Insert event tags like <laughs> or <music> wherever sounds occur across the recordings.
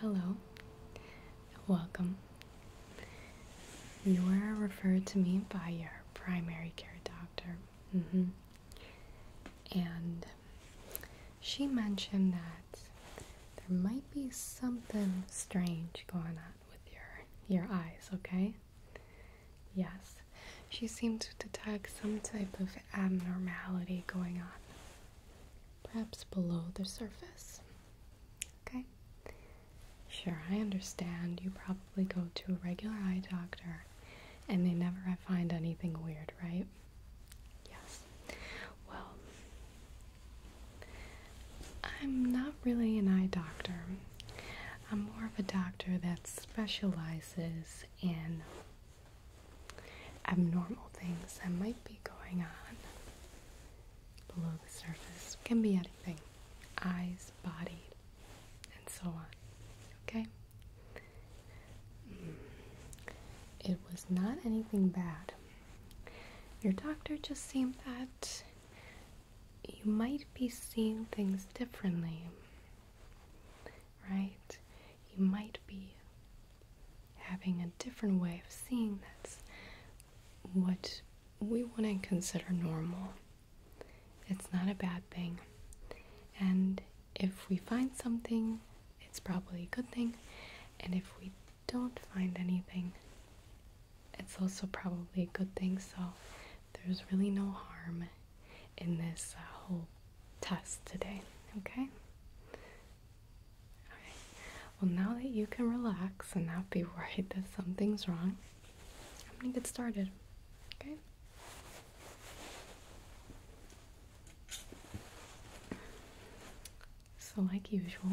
Hello. Welcome. You were referred to me by your primary care doctor. Mm-hmm. And she mentioned that there might be something strange going on with your your eyes, okay? Yes. She seemed to detect some type of abnormality going on perhaps below the surface. Okay? Sure, I understand. You probably go to a regular eye doctor and they never find anything weird, right? Yes. Well, I'm not really an eye doctor. I'm more of a doctor that specializes in abnormal things that might be going on below the surface. Can be anything eyes, body, and so on. Okay? Mm. It was not anything bad. Your doctor just seemed that you might be seeing things differently, right? You might be having a different way of seeing that's what we wouldn't consider normal. It's not a bad thing. And if we find something, it's probably a good thing. And if we don't find anything, it's also probably a good thing. So there's really no harm in this uh, whole test today, okay? well, now that you can relax and not be <laughs> worried that something's wrong, I'm gonna get started. Okay? So, like usual,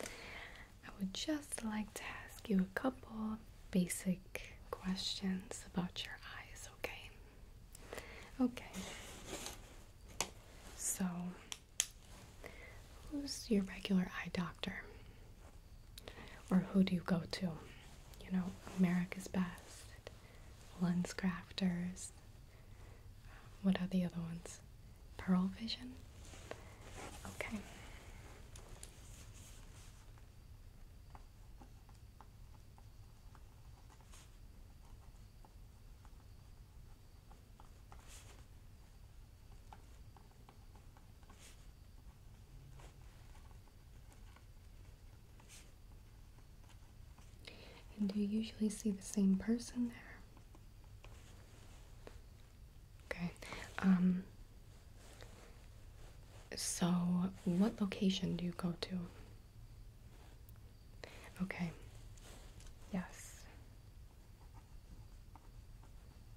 I would just like to ask you a couple basic questions about your eyes, okay? Okay. So, Who's your regular eye doctor? Or who do you go to? You know, America's Best, Lens Crafters, what are the other ones? Pearl Vision? Okay. And do you usually see the same person there? Okay. Um, so, what location do you go to? Okay. Yes.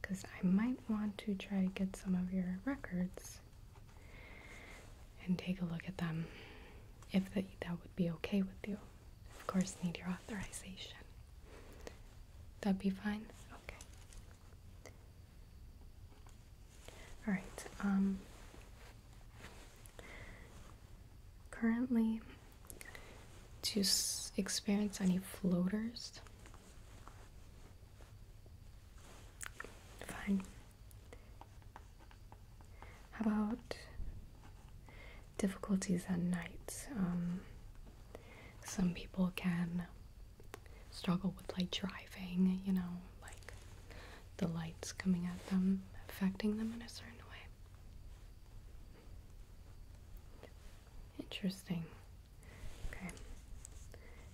Because I might want to try to get some of your records and take a look at them if the, that would be okay with you. Of course, need your authorization. That'd be fine? Okay. Alright, um, currently do you experience any floaters. Fine. How about difficulties at night? Um, some people can struggle with like driving, you know, like the lights coming at them affecting them in a certain way. Interesting. Okay.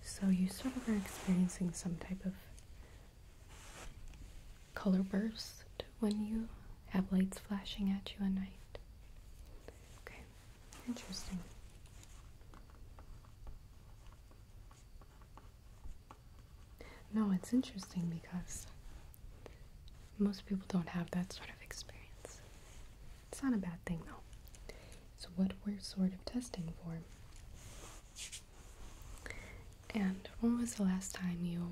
So you sort of are experiencing some type of color burst when you have lights flashing at you at night. Okay. Interesting. No, it's interesting because most people don't have that sort of experience. It's not a bad thing though. It's what we're sort of testing for. And when was the last time you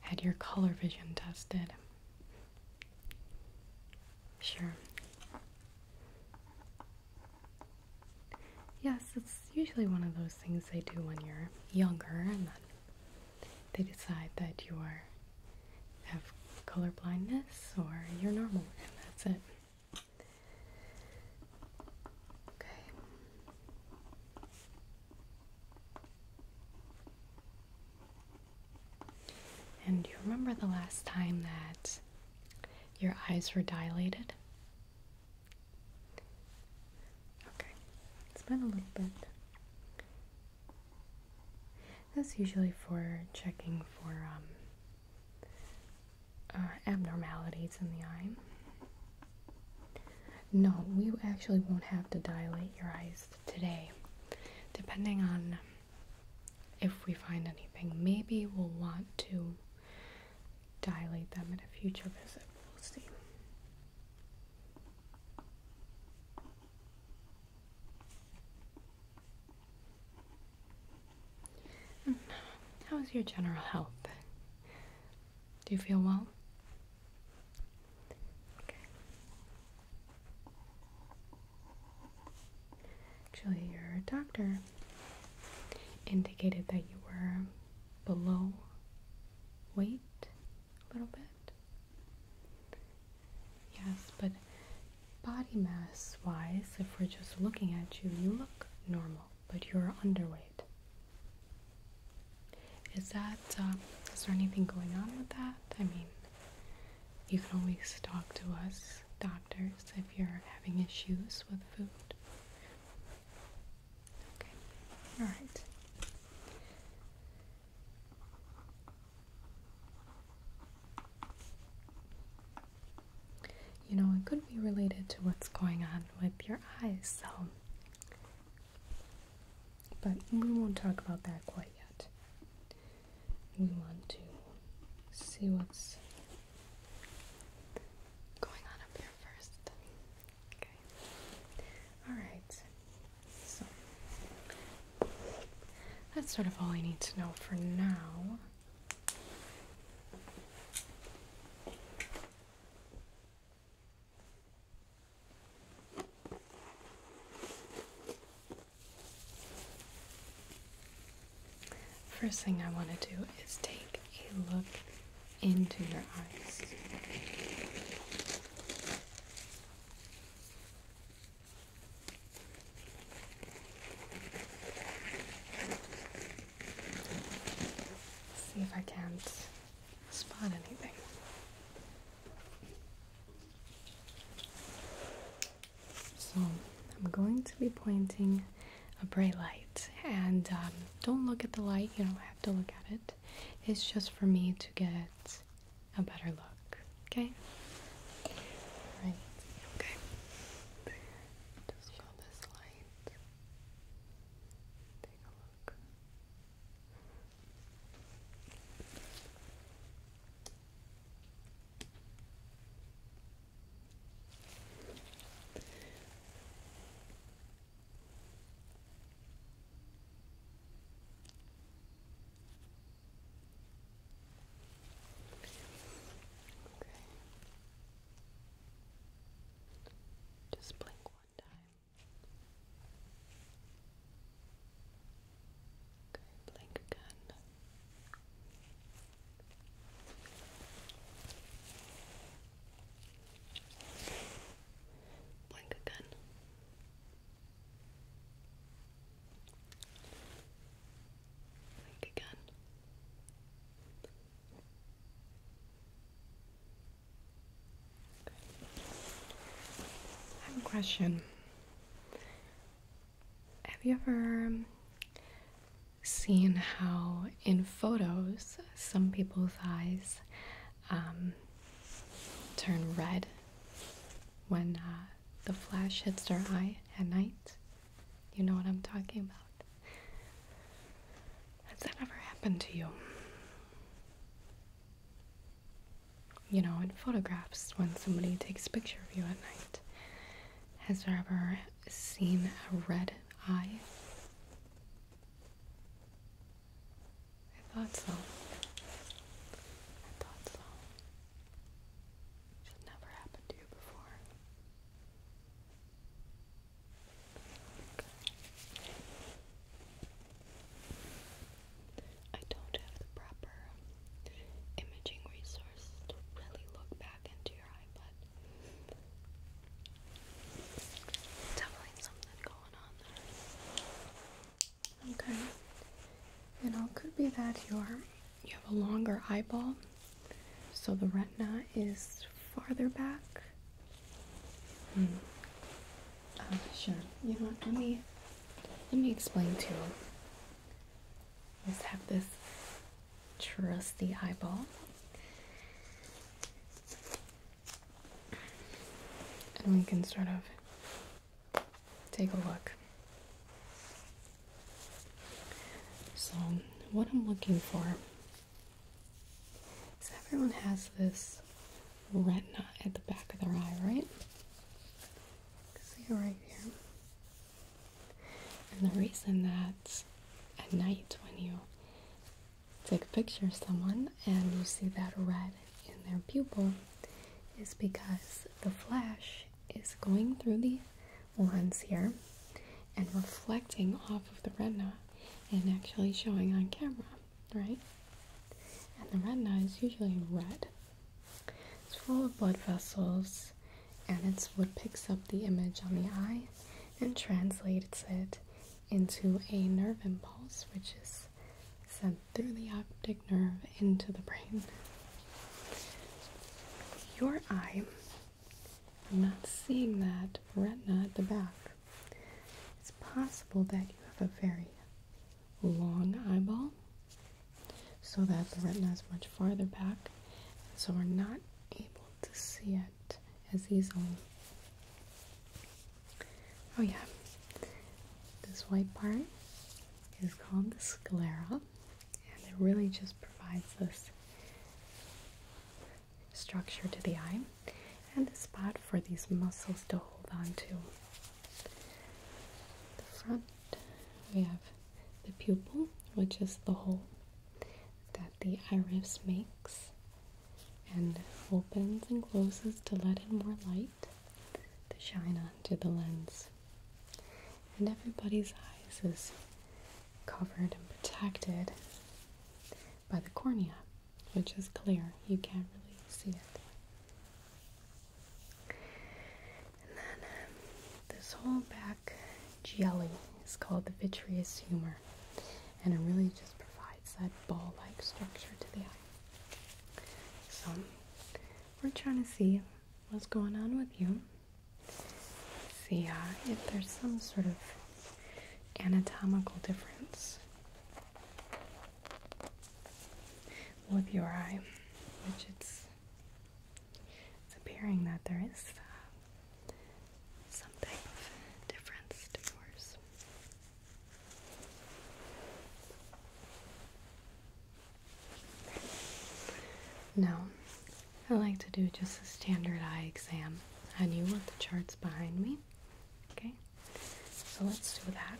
had your color vision tested? Sure. Yes, it's usually one of those things they do when you're younger and then they decide that you are have color blindness or you're normal and that's it. Okay. And do you remember the last time that your eyes were dilated? Okay, it's been a little bit. That's usually for checking for um, uh, abnormalities in the eye. No, we actually won't have to dilate your eyes today. Depending on if we find anything, maybe we'll want to dilate them at a future visit. We'll see. Mm. How's your general health? Do you feel well? Actually, your doctor indicated that you were below weight a little bit. Yes, but body mass wise, if we're just looking at you, you look normal, but you're underweight. Is that um, is there anything going on with that? I mean, you can always talk to us doctors if you're having issues with food. Okay. All right. You know, it could be related to what's going on with your eyes, so. But we won't talk about that quite yet. We want to see what's going on up here first. Okay. All right. So that's sort of all I need to know for now. First thing I want to do is take a look into your eyes. see if I can't spot anything. So I'm going to be pointing a bright light and um, don't look at the light, you don't have to look at it. It's just for me to get a better look. Okay? Right. Okay. Just show this light. Take a look. Okay. Just blink one time. Okay, blink again. Blink again again. I have a question. Have you ever seen how in photos some people's eyes um, turn red when uh, the flash hits their eye at night. You know what I'm talking about. Has that ever happened to you? You know, in photographs, when somebody takes a picture of you at night, has there ever seen a red eye? I thought so. I thought so. Should never happen to you before. I don't have the proper imaging resources to really look back into your eye, but definitely something going on Okay. And all could be that you're you have a longer eyeball, so the retina is farther back. Hmm. sure. You know Let me let me explain to you. Just have this trusty eyeball and we can sort of take a look. So, what I'm looking for is everyone has this retina at the back of their eye, right? See it right here. And the reason that at night when you take a picture of someone and you see that red in their pupil is because the flash is going through the lens here and reflecting off of the retina and actually showing on camera, right? And the retina is usually red. It's full of blood vessels and it's what picks up the image on the eye and translates it into a nerve impulse, which is sent through the optic nerve into the brain. Your eye, I'm not seeing that retina at the back. It's possible that you have a very long eyeball, so that the retina is much farther back, and so we're not able to see it as easily. Oh yeah, this white part is called the sclera, and it really just provides this structure to the eye and a spot for these muscles to hold onto. The front, we have the pupil, which is the hole that the iris makes and opens and closes to let in more light to shine onto the lens. And everybody's eyes is covered and protected by the cornea, which is clear. You can't really see it. And then um, this whole back jelly is called the vitreous humor, and it really just provides it's that ball-like structure to the eye. So we're trying to see what's going on with you. See uh, if there's some sort of anatomical difference with your eye, which it's, appearing that there is uh, some type of difference to yours. No, I like to do just a standard eye exam on you with the charts behind me. Okay, so let's do that.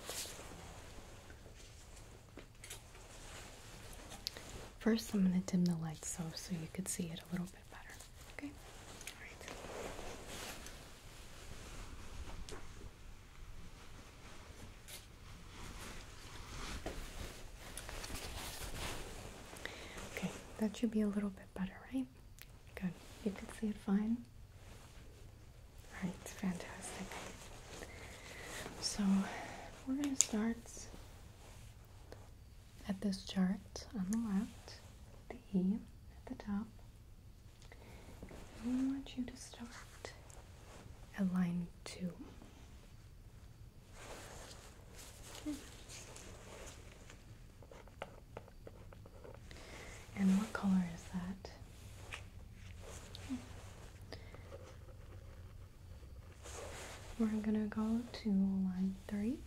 First, I'm going to dim the lights so, so you could see it a little bit better. Okay? Okay, that should be a little bit better, right? Good. You can see it fine. Right. fantastic. So we're going to start at this chart on the left, the E at the top, I want you to start at line two. And what color is that? Okay. We're gonna go to line three.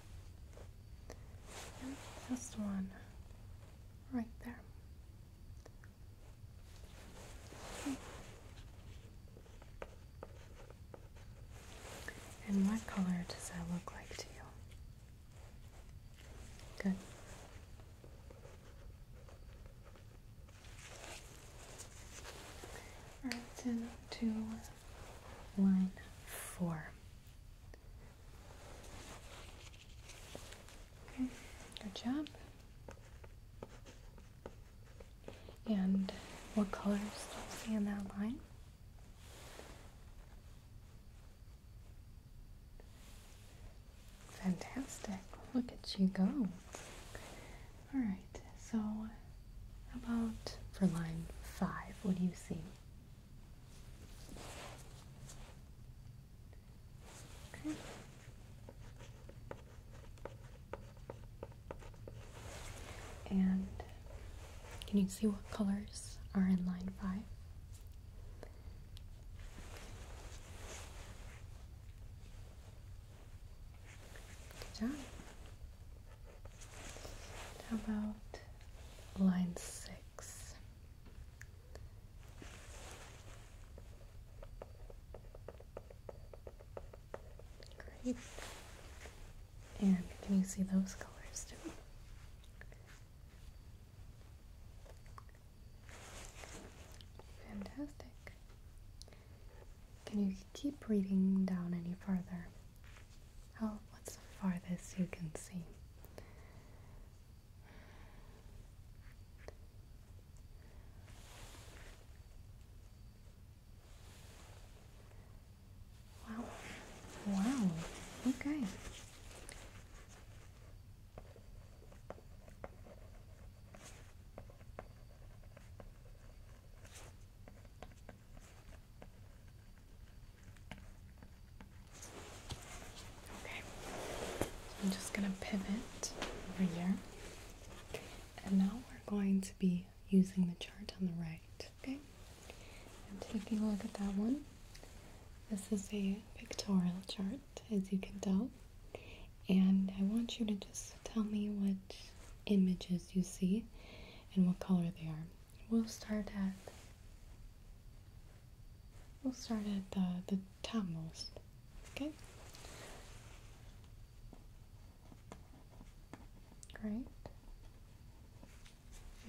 And this one right there. And what color does that look like to you? Good. All right, Okay, Good job. And what colors do you see in that line? Fantastic. Look at you go. Alright, so about for line five, what do you see? And can you see what colors are in line five? Good job. How about line six? Great. And can you see those colors too? Fantastic. Can you keep reading down any further? How, oh, what's the farthest you can see? Wow. Wow. Okay. Okay, I'm just gonna pivot over here, and now we're going to be using the chart on the right. Okay, I'm taking a look at that one. This is a pictorial chart, as you can tell, and I want you to just tell me what images you see and what color they are. We'll start at We'll start at the, the Tamils, okay? Great.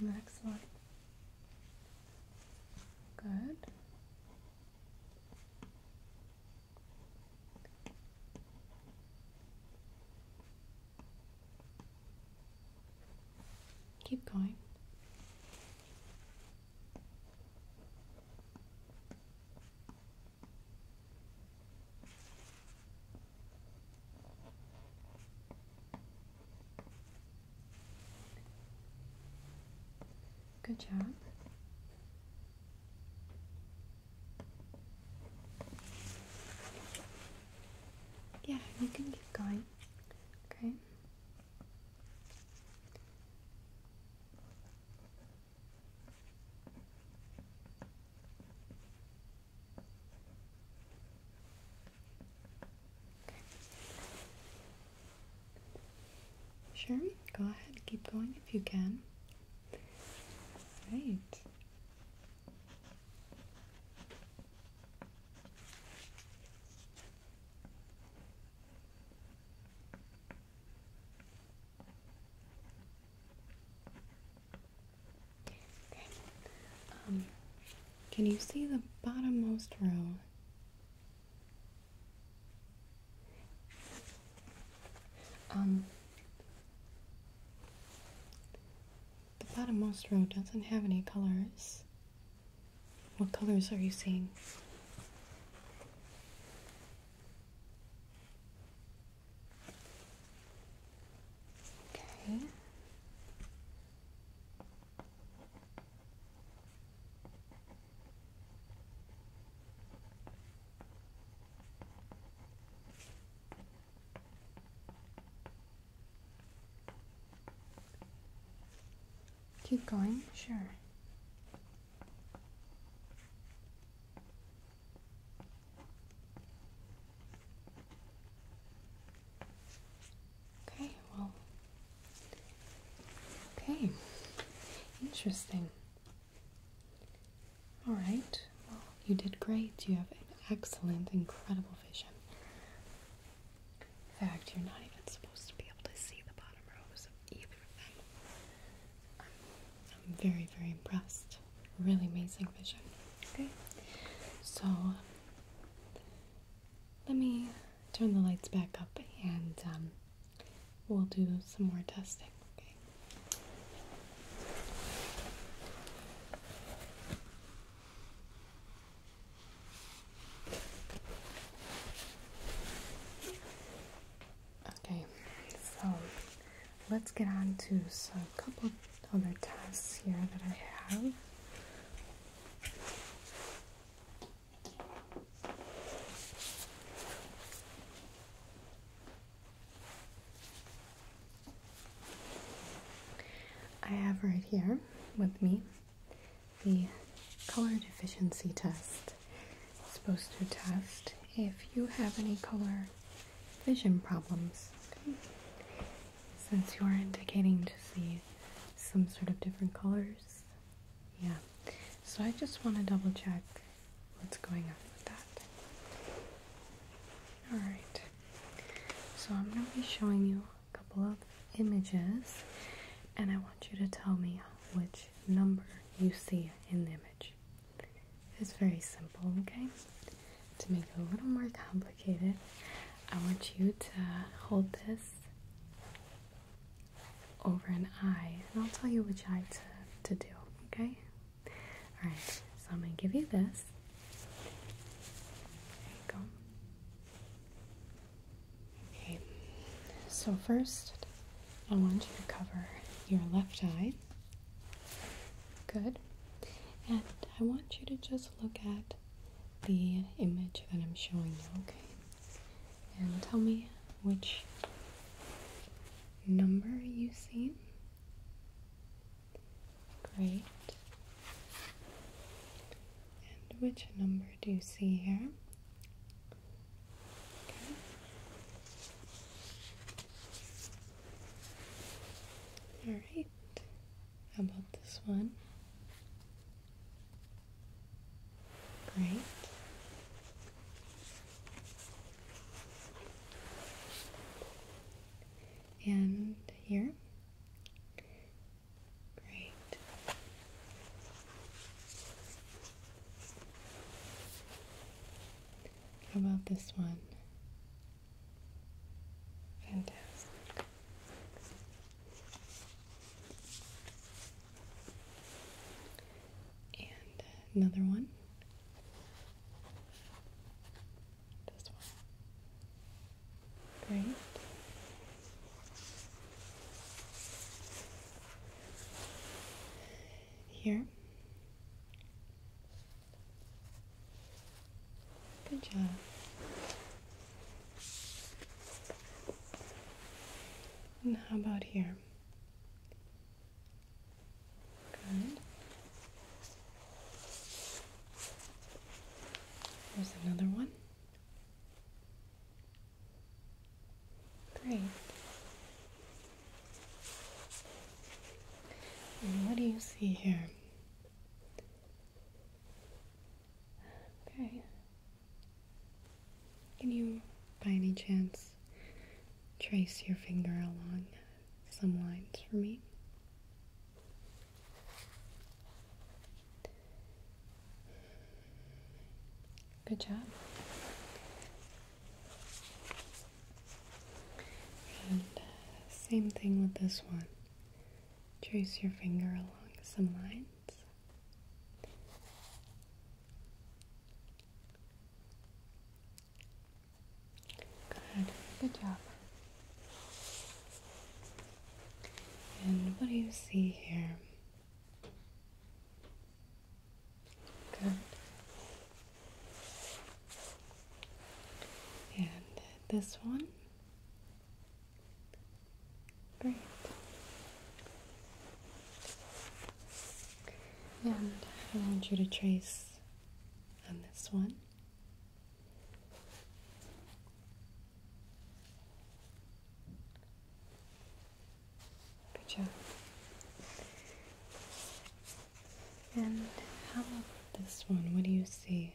And Good. Keep going. Good job. Yeah, you can keep going. Okay. Okay. Sure, go ahead, keep going if you can. Right. Um, can you see the bottommost row? Um, the bottommost row doesn't have any colors. What colors are you seeing? Okay. Keep going, sure. Okay, well. Okay. Interesting. All right. Well, you did great. You have an excellent, incredible vision. In fact, you're not even supposed to be able to see the bottom rows of either of them. I'm, very, very impressed. Really amazing vision. Okay, so let me turn the lights back up and um, we'll do some more testing. Okay. Okay, so let's get on to a couple other tests here that I have. I have right here with me the color deficiency test is supposed to test if you have any color vision problems. Since you are indicating to see some sort of different colors. Yeah. So I just want to double check what's going on with that. Alright. So I'm going to be showing you couple of images and I want you to tell me which number you see in the image. It's very simple, okay? To make it a little more complicated, I want you to hold this over an eye and I'll tell you which eye to, to do, okay? Alright, so I'm going to give you this. There you go. Okay, so first I want you to cover your left eye. Good. And I want you to just look at the image that I'm showing you, okay? And tell me which number you see. Great. And which number do you see here? All right. How about this one? Great. And here. Great. How about this one? Fantastic. And another one. This one. Great. Here. Good job. And how about here? Good. There's another one. Great. what do you see here? Okay. Can you, by any chance, trace your finger along some lines for me? Good job. And uh, same thing with this one. Trace your finger along some lines. Good. Good job. And what do you see here? Good. And this one. Great. And I want you to trace on this one. Good job. And how about this one? What do you see?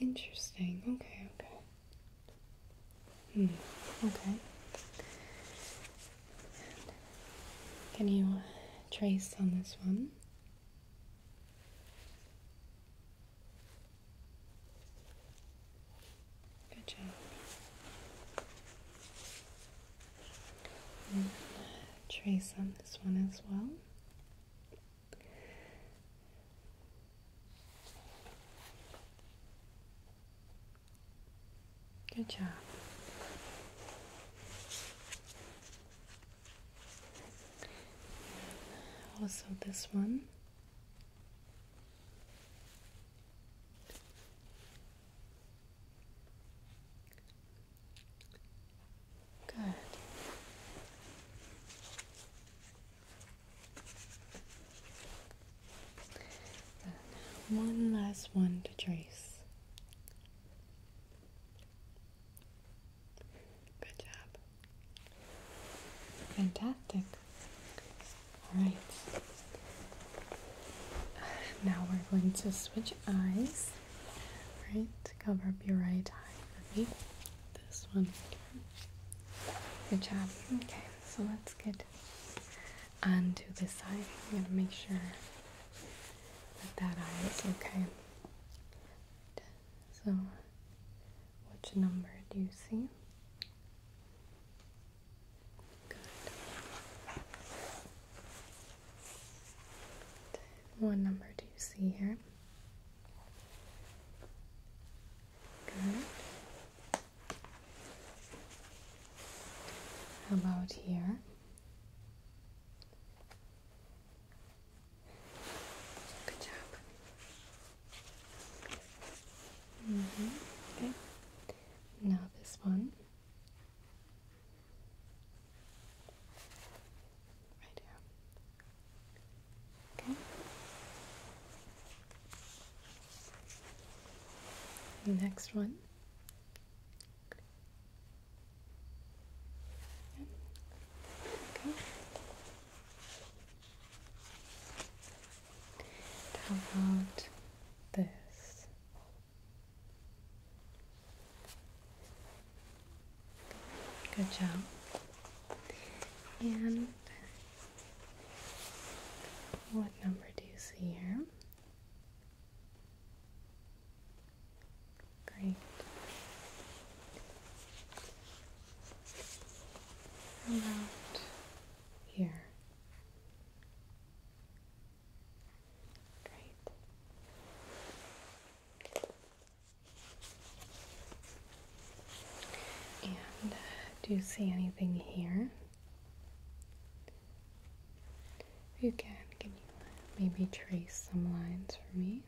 Interesting. Okay, okay. Hmm, okay. Can you uh, trace on this one? Good job. trace on this one as well. Good job. Also, this one Good. one last one to trace. Good job. Fantastic. All right. Now we're going to switch eyes. All right, cover up your right eye for This one. Good job. Okay, so let's get onto this side. I'm gonna make sure that that eye is okay. So which number do you see? Good. What number do you see here? Good. about here? Good job. Mm-hmm. Okay. Now this one. Right here. Okay. Next one. Okay. How about this? Good job. And what number do you see here? Great around here. Great. And uh, do you see anything here? If you can, can you uh, maybe trace some lines for me?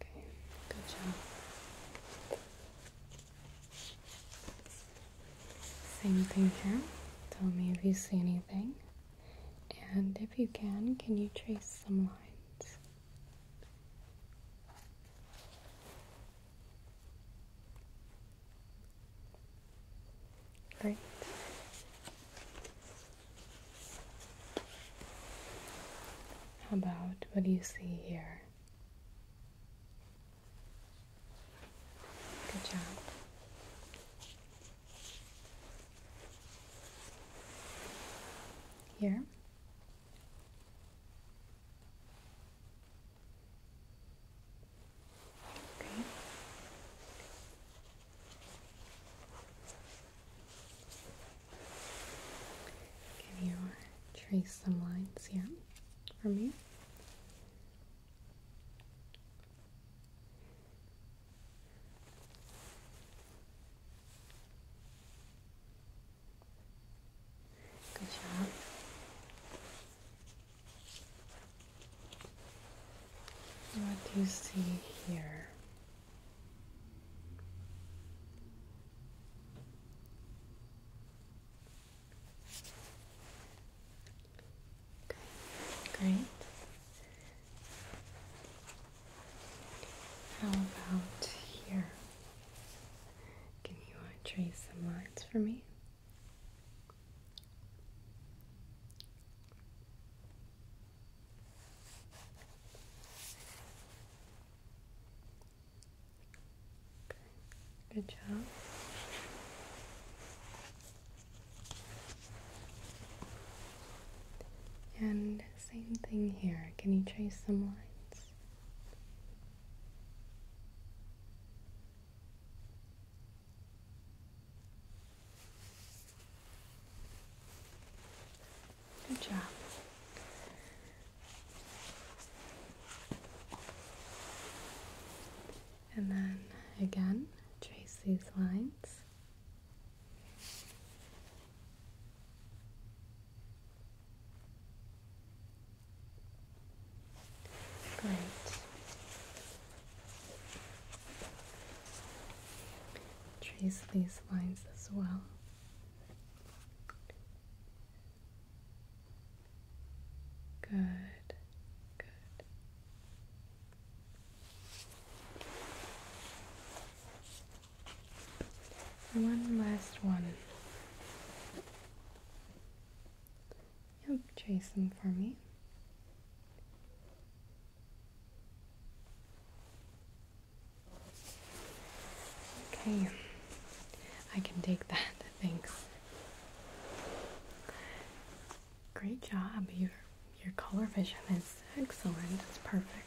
Okay, good job. Same thing here. Tell me if you see anything. And if you can, can you trace some lines? Great. How about what do you see here? Good job. Here. Okay. Can you trace some lines here for me? Good job. What do you see here? great. How about here? Can you trace some lines for me? Good job. And same thing here. Can you trace some lines? Good job. And then again, trace these lines. Great. Trace these lines as well. Good, good. One last one. Yep, trace them for me. Okay, I can take that, <laughs> thanks. Great job, your, your color vision is excellent, it's perfect.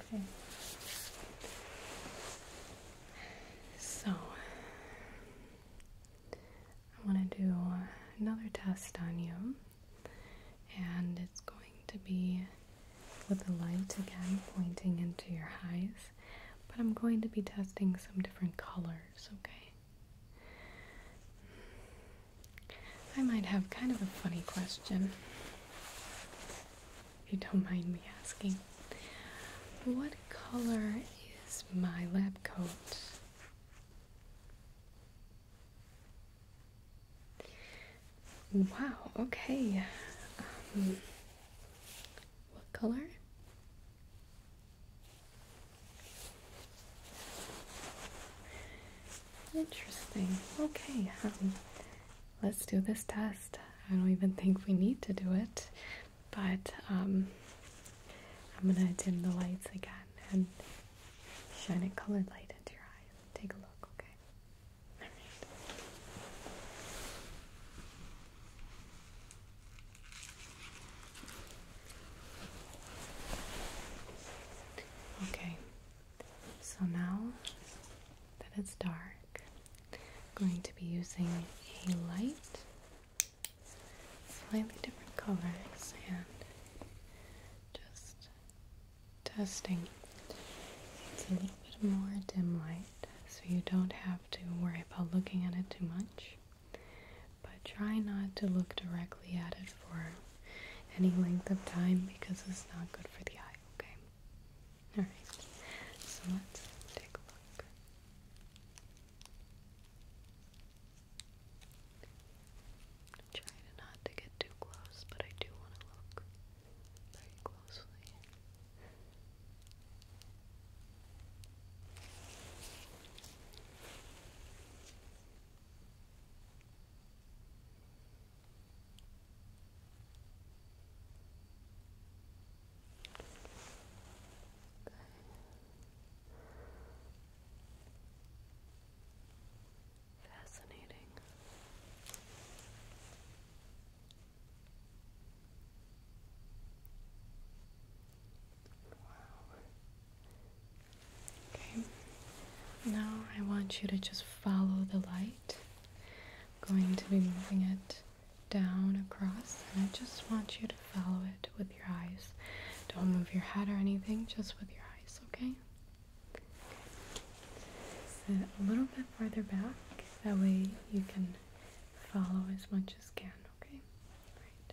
Okay. So, I want to do another test on you, and it's going to be with the light again pointing into your eyes, but I'm going to be testing some different colors, okay? I might have kind of a funny question you don't mind me asking. What color is my lab coat? Wow, okay. Um, what color? Interesting. Okay. Um, let's do this test. I don't even think we need to do it, but um, I'm gonna dim the lights again and shine a colored light into your eyes. Take a look, okay? Okay, so now that it's dark, I'm going to be using a light, slightly different colors, and just testing. It's a little bit more dim light, so you don't have to worry about looking at it too much. But try not to look directly at it for any length of time because it's not good for the eye, okay? Alright, so let's take a look. Try not to get too close, but I do want to look very closely. Fascinating. Wow. Okay. Now I want you to just follow the light going to be moving it down across and I just want you to follow it with your eyes. Don't move your head or anything, just with your eyes, okay? a little bit farther back, that way you can follow as much as can, okay? Right.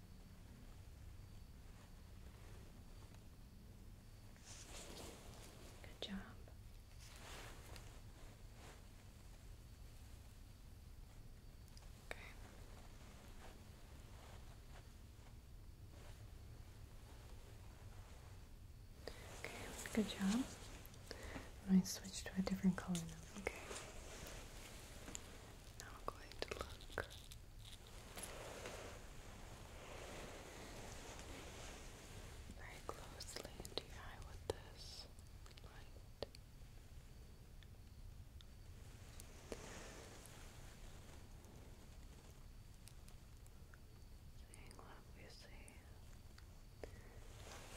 Good job. Okay. Okay, good job. i switch to a different color now, okay? Now I'm going to look very closely into your eye with this light.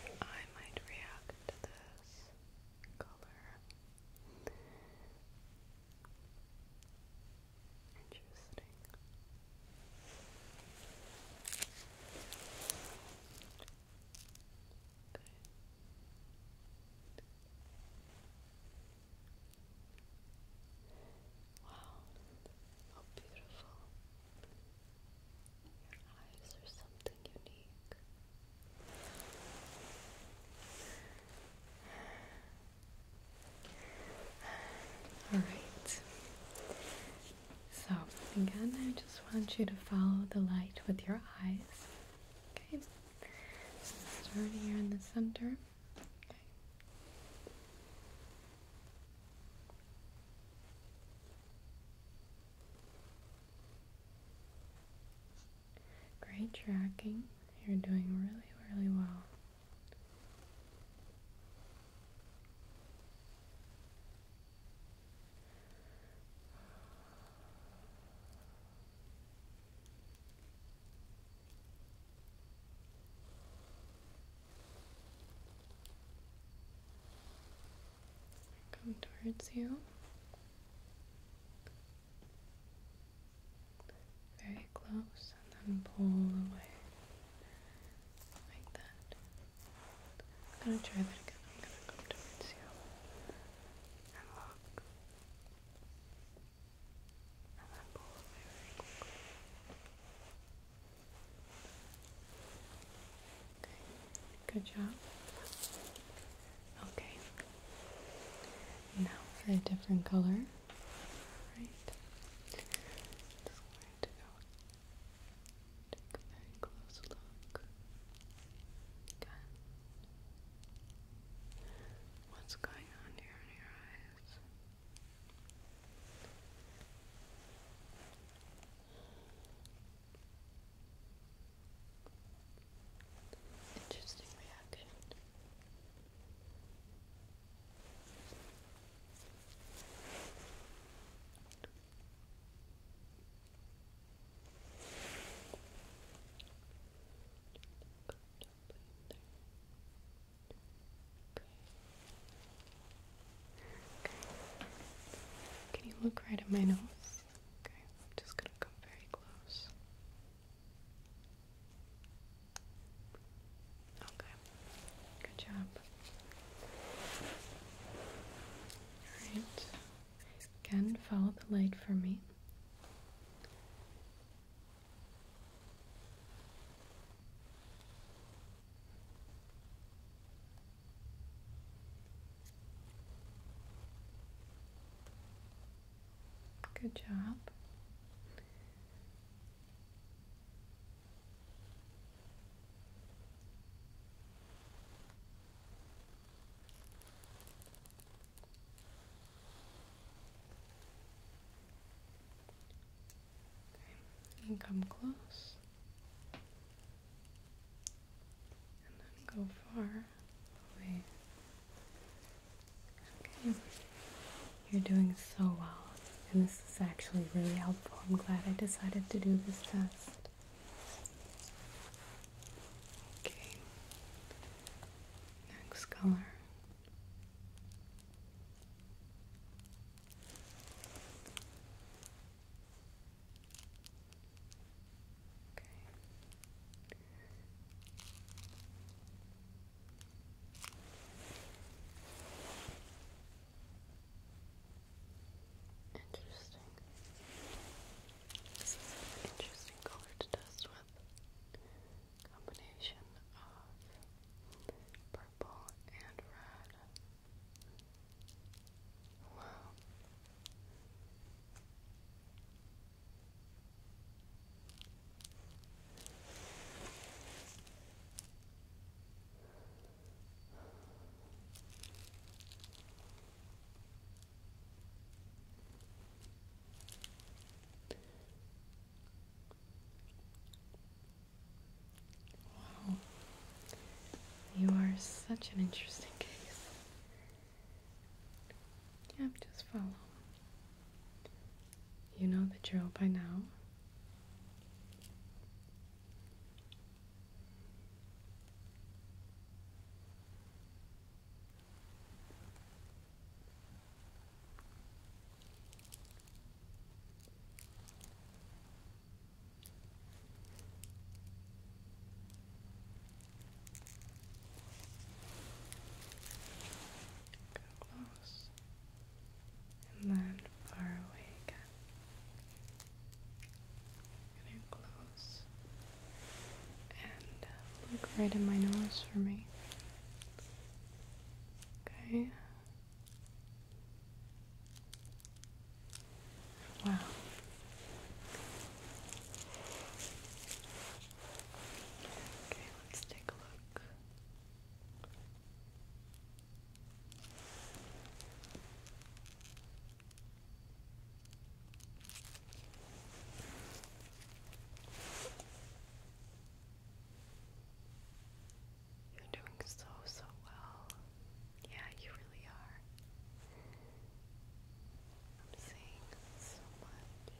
Seeing I might react to this color. Interesting. Wow, how beautiful. Your eyes are something unique. All right. So, again, I just want you to follow the light with your eyes. Okay. So start here in the center. Okay. Great tracking. You're doing really, really well. Come towards you very close and then pull away like that. I'm gonna try that again. I'm gonna come towards you and look and then pull away very quickly. Okay, good job. Okay. Now for a different color. Right. Just going to go take a very close look. Okay. What's going on here in your eyes? Interesting reaction. Can you look right at my nose? Okay, I'm just gonna come very close. Okay, good job. Alright, again, follow the light for me. Good job. And come close. And then go far away Okay. You're doing so well, and this is actually really helpful. I'm glad I decided to do this test. Okay. Next color. Interesting. This is an interesting color to test with. Combination of purple and red. Wow. Wow, you are such an interesting case. Yep, just follow. You know the drill by now. Go close. And then far away again. Getting close. And uh, look right in my nose for me. Okay. Wow. Okay, let's take a look. You're doing so, so well. Yeah, you really are. I'm seeing so much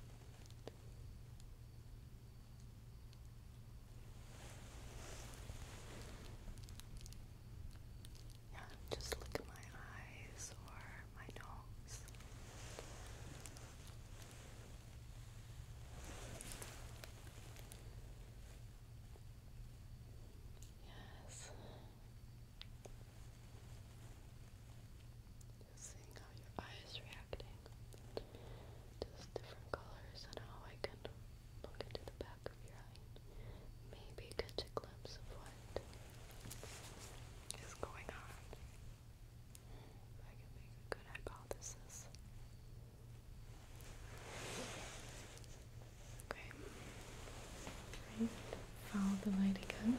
just look at my eyes or my nose. Yes seeing how your eye reacting to different colors and how I can look into the back of your eye. Maybe catch a glimpse of what is going on. If I can make a good hypothesis. Okay. Right. Follow the light again.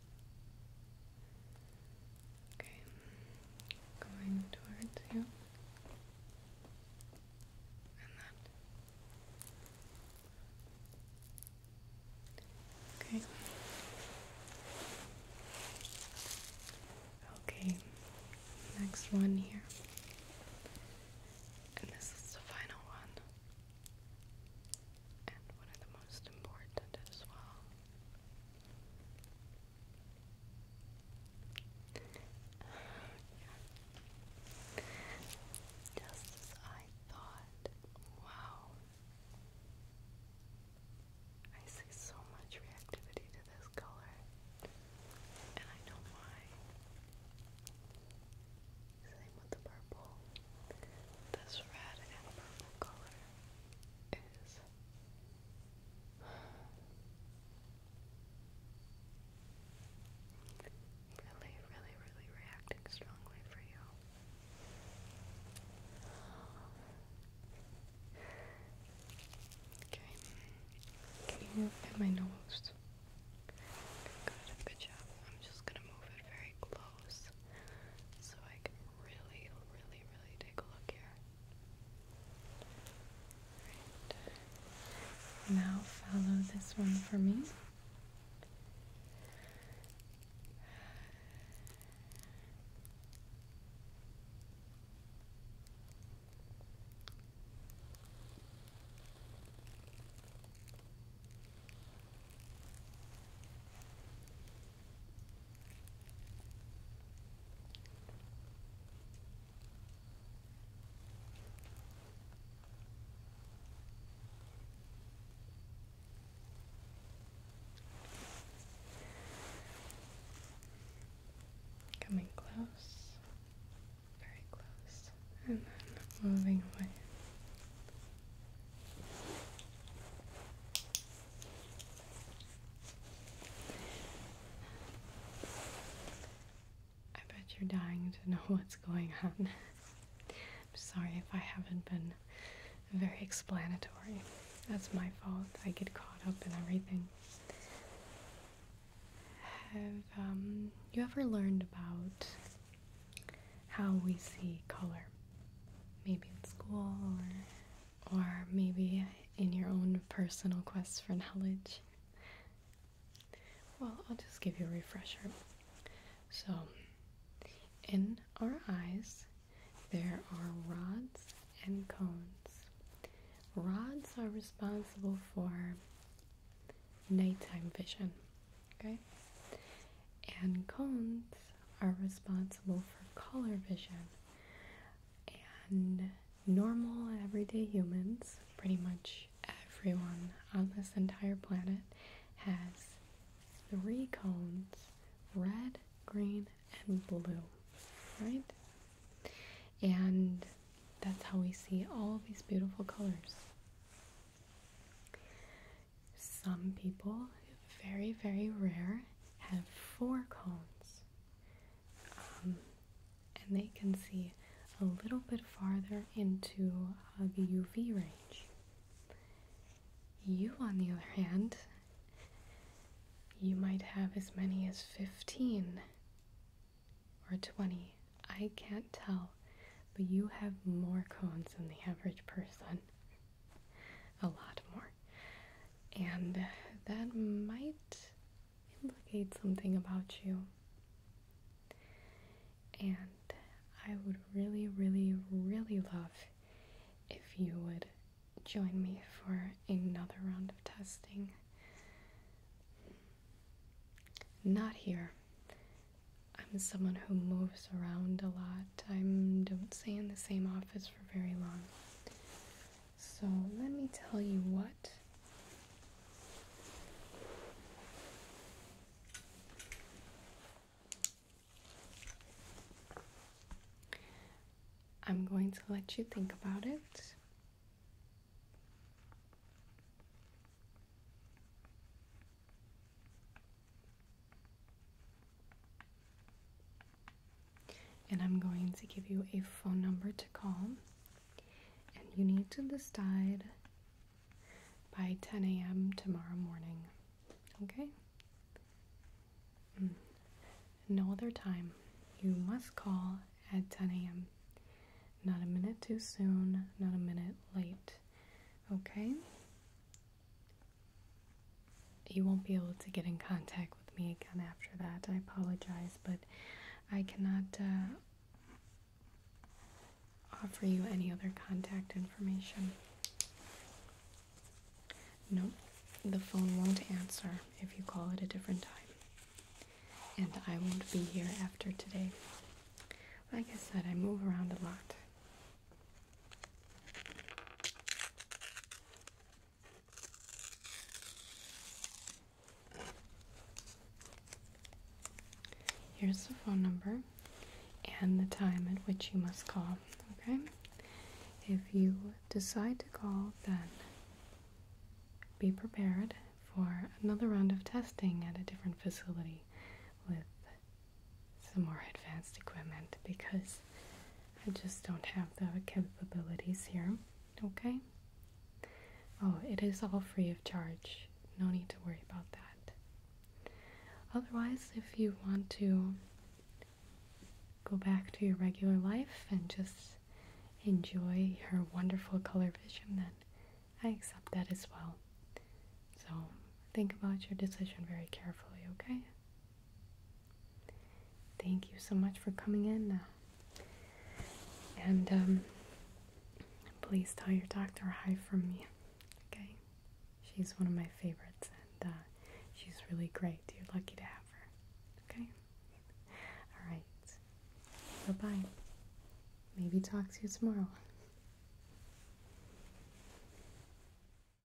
Okay, going towards you. Okay. Okay, next one here. And this is the final one. And one of the most important as well yeah. Just as I thought, wow. I see so much reactivity to this color, and I know why. Same with the purple. This red and purple color is really, really, really reacting strongly for you. Okay. Can you hit my nose? Good, good job. I'm just gonna move it very close so I can really, really, really take a look here. Now follow this one for me. Coming close, very close, and then moving away. I bet you're dying to know what's going on. I'm sorry if I haven't been very explanatory. That's my fault. I get caught up in everything. Have um, you ever learned about how we see color. Maybe in school or, maybe in your own personal quest for knowledge. Well, I'll just give you a refresher. So, in our eyes, there are rods and cones. Rods are responsible for nighttime vision, okay? and cones are responsible for color vision. And normal, everyday humans, pretty much everyone on this entire planet, has three cones red, green, and blue, right? And that's how we see all these beautiful colors. Some people, very, very rare, have four cones. Um, and they can see a little bit farther into uh, the UV range. You, on the other hand, you might have as many as 15 or 20. I can't tell, but you have more cones than the average person a lot more. And that might implicate something about you. And I would really, really, really love if you would join me for another round of testing. Not here. I'm someone who moves around a lot I don't stay in the same office for very long. So let me tell you what. I'm going to let you think about it. And I'm going to give you a phone number to call. And you need to decide by 10 a.m. tomorrow morning. Okay? Mm. No other time. You must call at 10 a.m. Not a minute too soon, not a minute late. Okay? You won't be able to get in contact with me again after that. I apologize, but I cannot uh, offer you any other contact information. No, the phone won't answer if you call at a different time. And I won't be here after today. Like I said, I move around a lot. Here's the phone number and the time at which you must call. Okay? If you decide to call, then be prepared for another round of testing at a different facility with some more advanced equipment because I just don't have the capabilities here. Okay? Oh, it is all free of charge. No need to worry about that. Otherwise, if you want to go back to your regular life and just enjoy your wonderful color vision, then I accept that as well. So think about your decision very carefully, okay? Thank you so much for coming in. Uh, and um, please tell your doctor hi from me. Okay? She's one of my favorites and uh, she's really great. You're lucky to have her. Okay? All right. Bye bye. Maybe talk to you tomorrow.